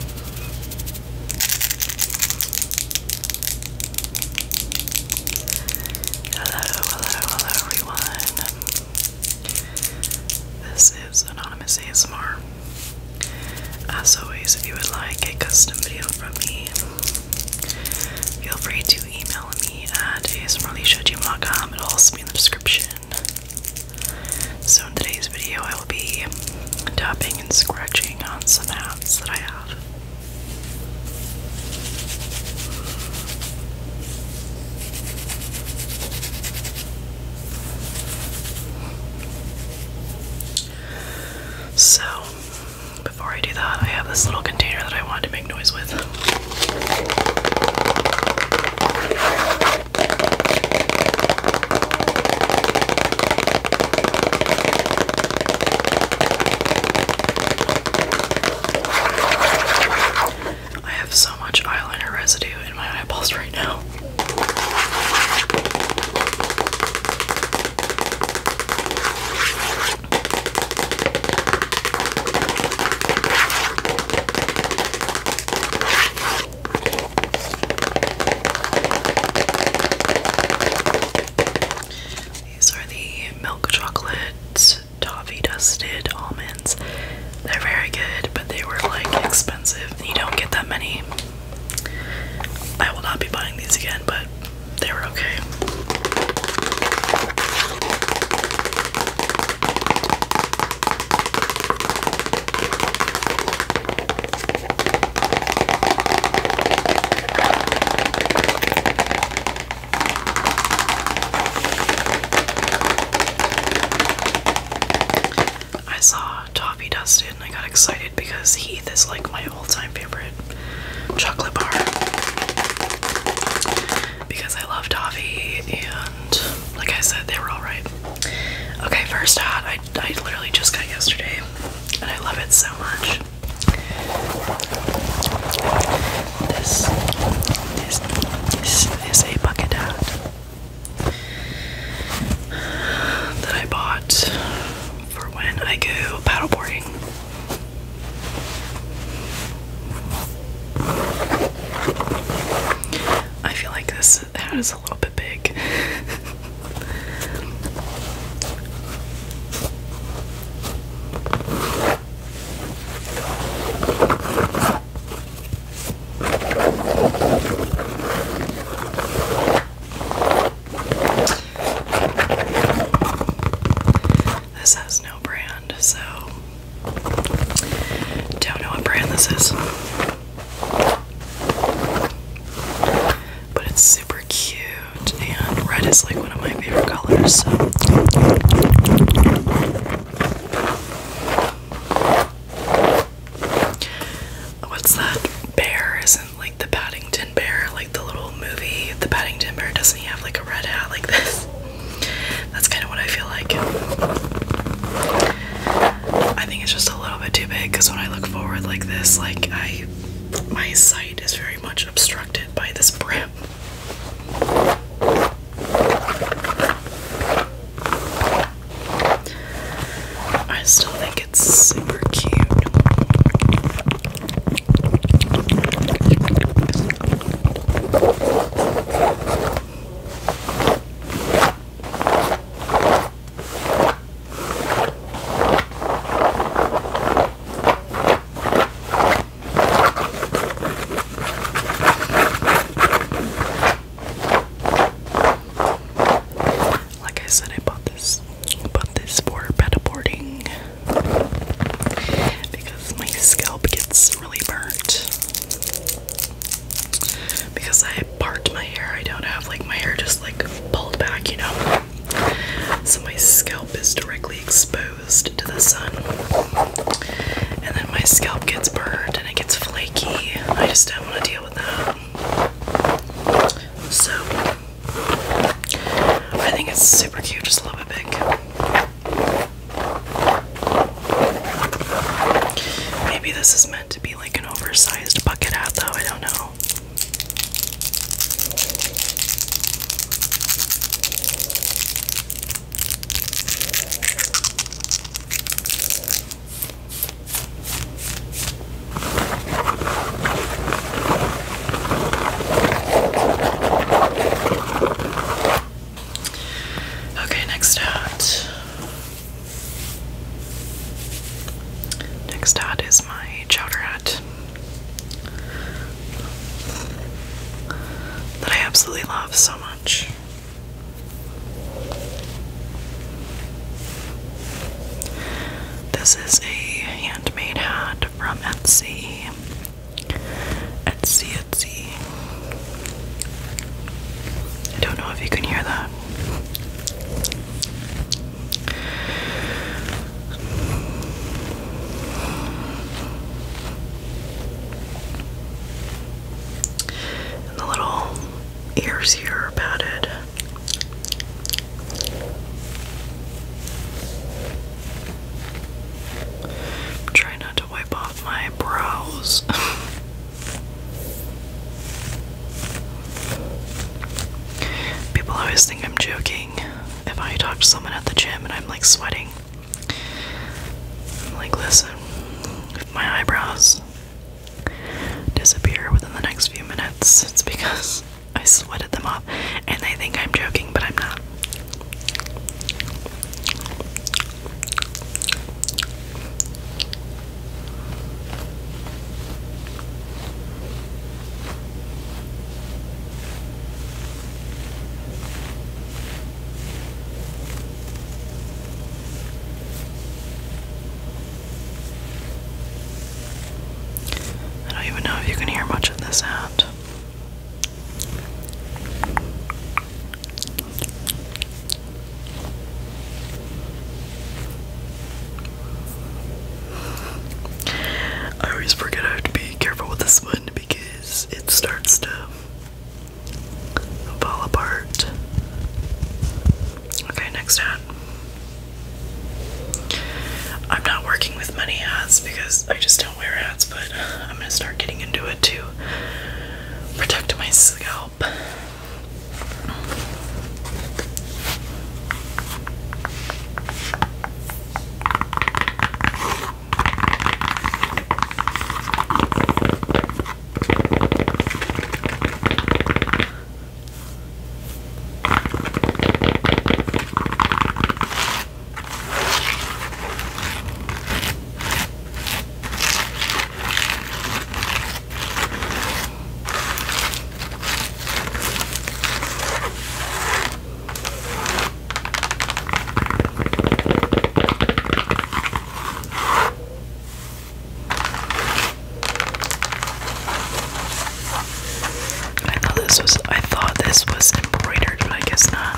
Hello, hello, hello everyone. This is Anonymous ASMR. As always, if you would like a custom video from me, feel free to email me at asmrleisha.gmail.com. It'll also be in the description. So in today's video, I will be tapping and scratching on some apps that I have. So, before I do that, I have this little container that I wanted to make noise with. I have so much eyeliner residue in my eyeballs right now. These are the milk chocolate toffee dusted almonds. They're very good, but they were like expensive. You don't get that many. I will not be buying these again, but they were okay. I saw Toffee dusted and I got excited because Heath is like my all time favorite chocolate bar. Because I love toffee and like I said, they were alright. Okay, first ad I, literally just got yesterday, and I love it so much. this is a bucket hat that I bought for when I go paddleboarding. I feel like this that is a little bit big. This has no brand, so don't know what brand this is. But it's super cute, and red is like one of my favorite colors. So. What's that bear? Isn't like the Paddington Bear, like the little movie? The Paddington Bear doesn't he have like a red hat like this? That's kind of what I feel like. I think it's just a little bit too big because when I look forward like this, like I my sight is very much obstructed by this brim. I still think it's super cute. Like I said, I bought this bought this for boarding because my scalp gets really burnt because I part my hair. I don't have like my hair just like pulled back, you know. So my scalp is directly exposed to the sun, and then my scalp gets burned and it gets flaky. I just don't want to deal with that. So I think it's super cute, just a little bit big. Maybe this is meant to be like an oversized bucket hat, though. I don't know. Okay, next hat. Next out is my chowder hat that I absolutely love so much. This is a handmade hat from Etsy. Etsy, Etsy. I don't know if you can hear that. the little ears here are padded. i not to wipe off my brows. People always think I'm joking if I talk to someone at the gym and I'm like sweating. I'm like, listen, if my eyebrows disappear within the next few minutes, it's because I sweated them off and they think I'm joking, but I'm not. I don't even know if you can hear much of this out. I always forget I have to be careful with this one because it starts to fall apart. Okay, next hat. I'm not working with money hats because I just don't nowhere ads, but I'm gonna start getting into it to protect my scalp. I thought this was I thought this was embroidered, but I guess not.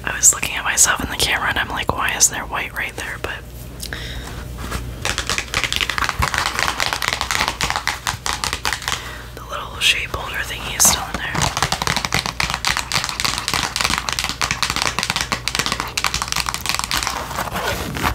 I was looking at myself in the camera and I'm like, why is there white right there? But the little shape holder thingy is still in there.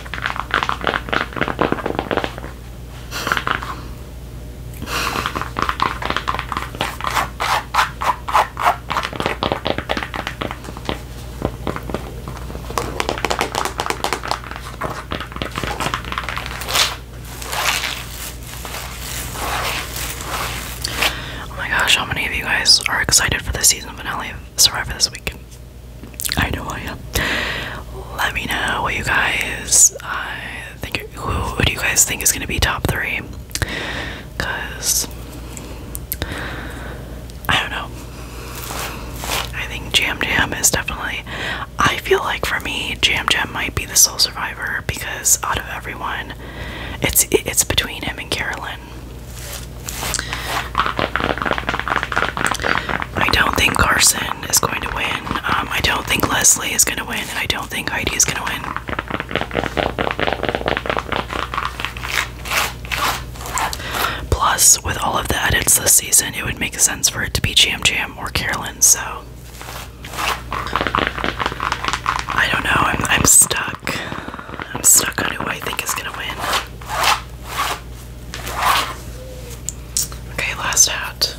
Oh my gosh, how many of you guys are excited for the season finale Survivor this week. I know I am. Let me know what you guys I think. who do you guys think is gonna be top three? Cause I don't know. I think Jam Jam is definitely. I feel like for me, Jam Jam might be the sole survivor because out of everyone, it's it's between him and Carolyn. I don't think Carson is going to win. Um, I don't think Leslie is going to win, and I don't think Heidi is going to win. Plus, with all of the edits this season, it would make sense for it to be Jam Jam or Carolyn, so. I don't know. I'm, I'm stuck. I'm stuck on who I think is going to win. Okay, last hat.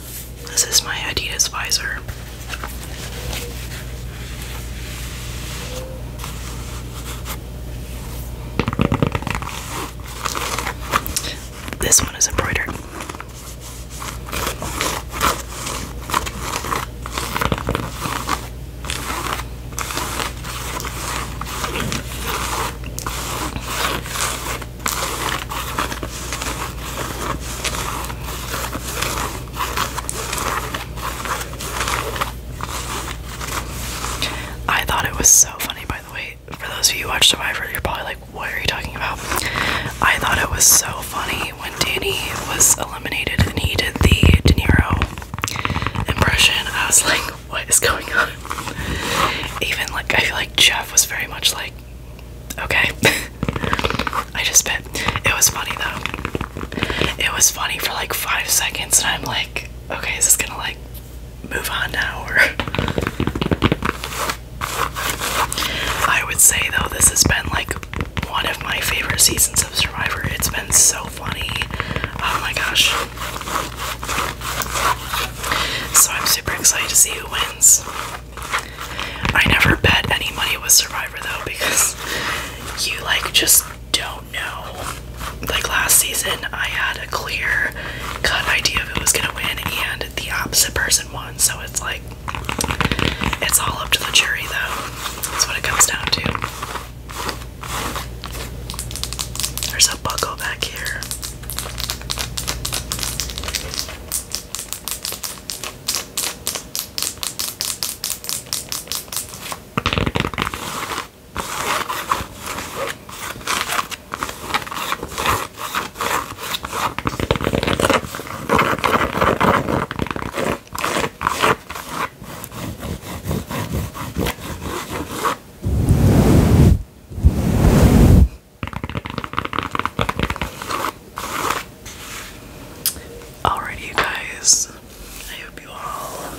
This is my Adidas visor. This one is embroidered. I thought it was so funny, by the way. For those of you who watch Survivor, you're probably like, what are you talking about? I thought it was so funny when Danny was eliminated and he did the De Niro impression. I was like, what is going on. Even like I feel like Jeff was very much like, okay. I just spit. It was funny though. It was funny for like five seconds, and I'm like, okay, is this gonna like move on now or? I would say though, this has been like one of my favorite seasons of Survivor. It's been so funny. Oh my gosh. So I'm super excited to see who wins. I never bet any money with Survivor though because you like just don't know. Like last season, I had a clear cut idea of who was gonna win, and the opposite person won. So it's like it's all up to the jury, though. That's what it comes down to. There's a buckle back here. Alrighty, you guys. I hope you all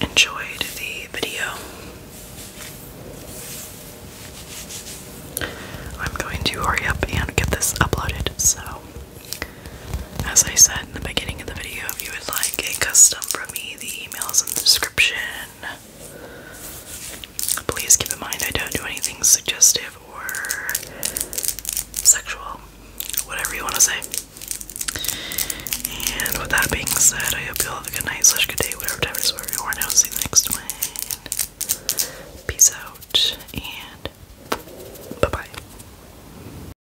enjoyed the video. I'm going to hurry up and get this uploaded, so as I said in the beginning of the video, if you would like a custom from me, the email is in the description. Please keep in mind I don't do anything suggestive or sexual, whatever you want to say. And with that being said, I hope you all have a good night, slash good day, whatever time it is, wherever you are will See you next time. Peace out, and bye bye.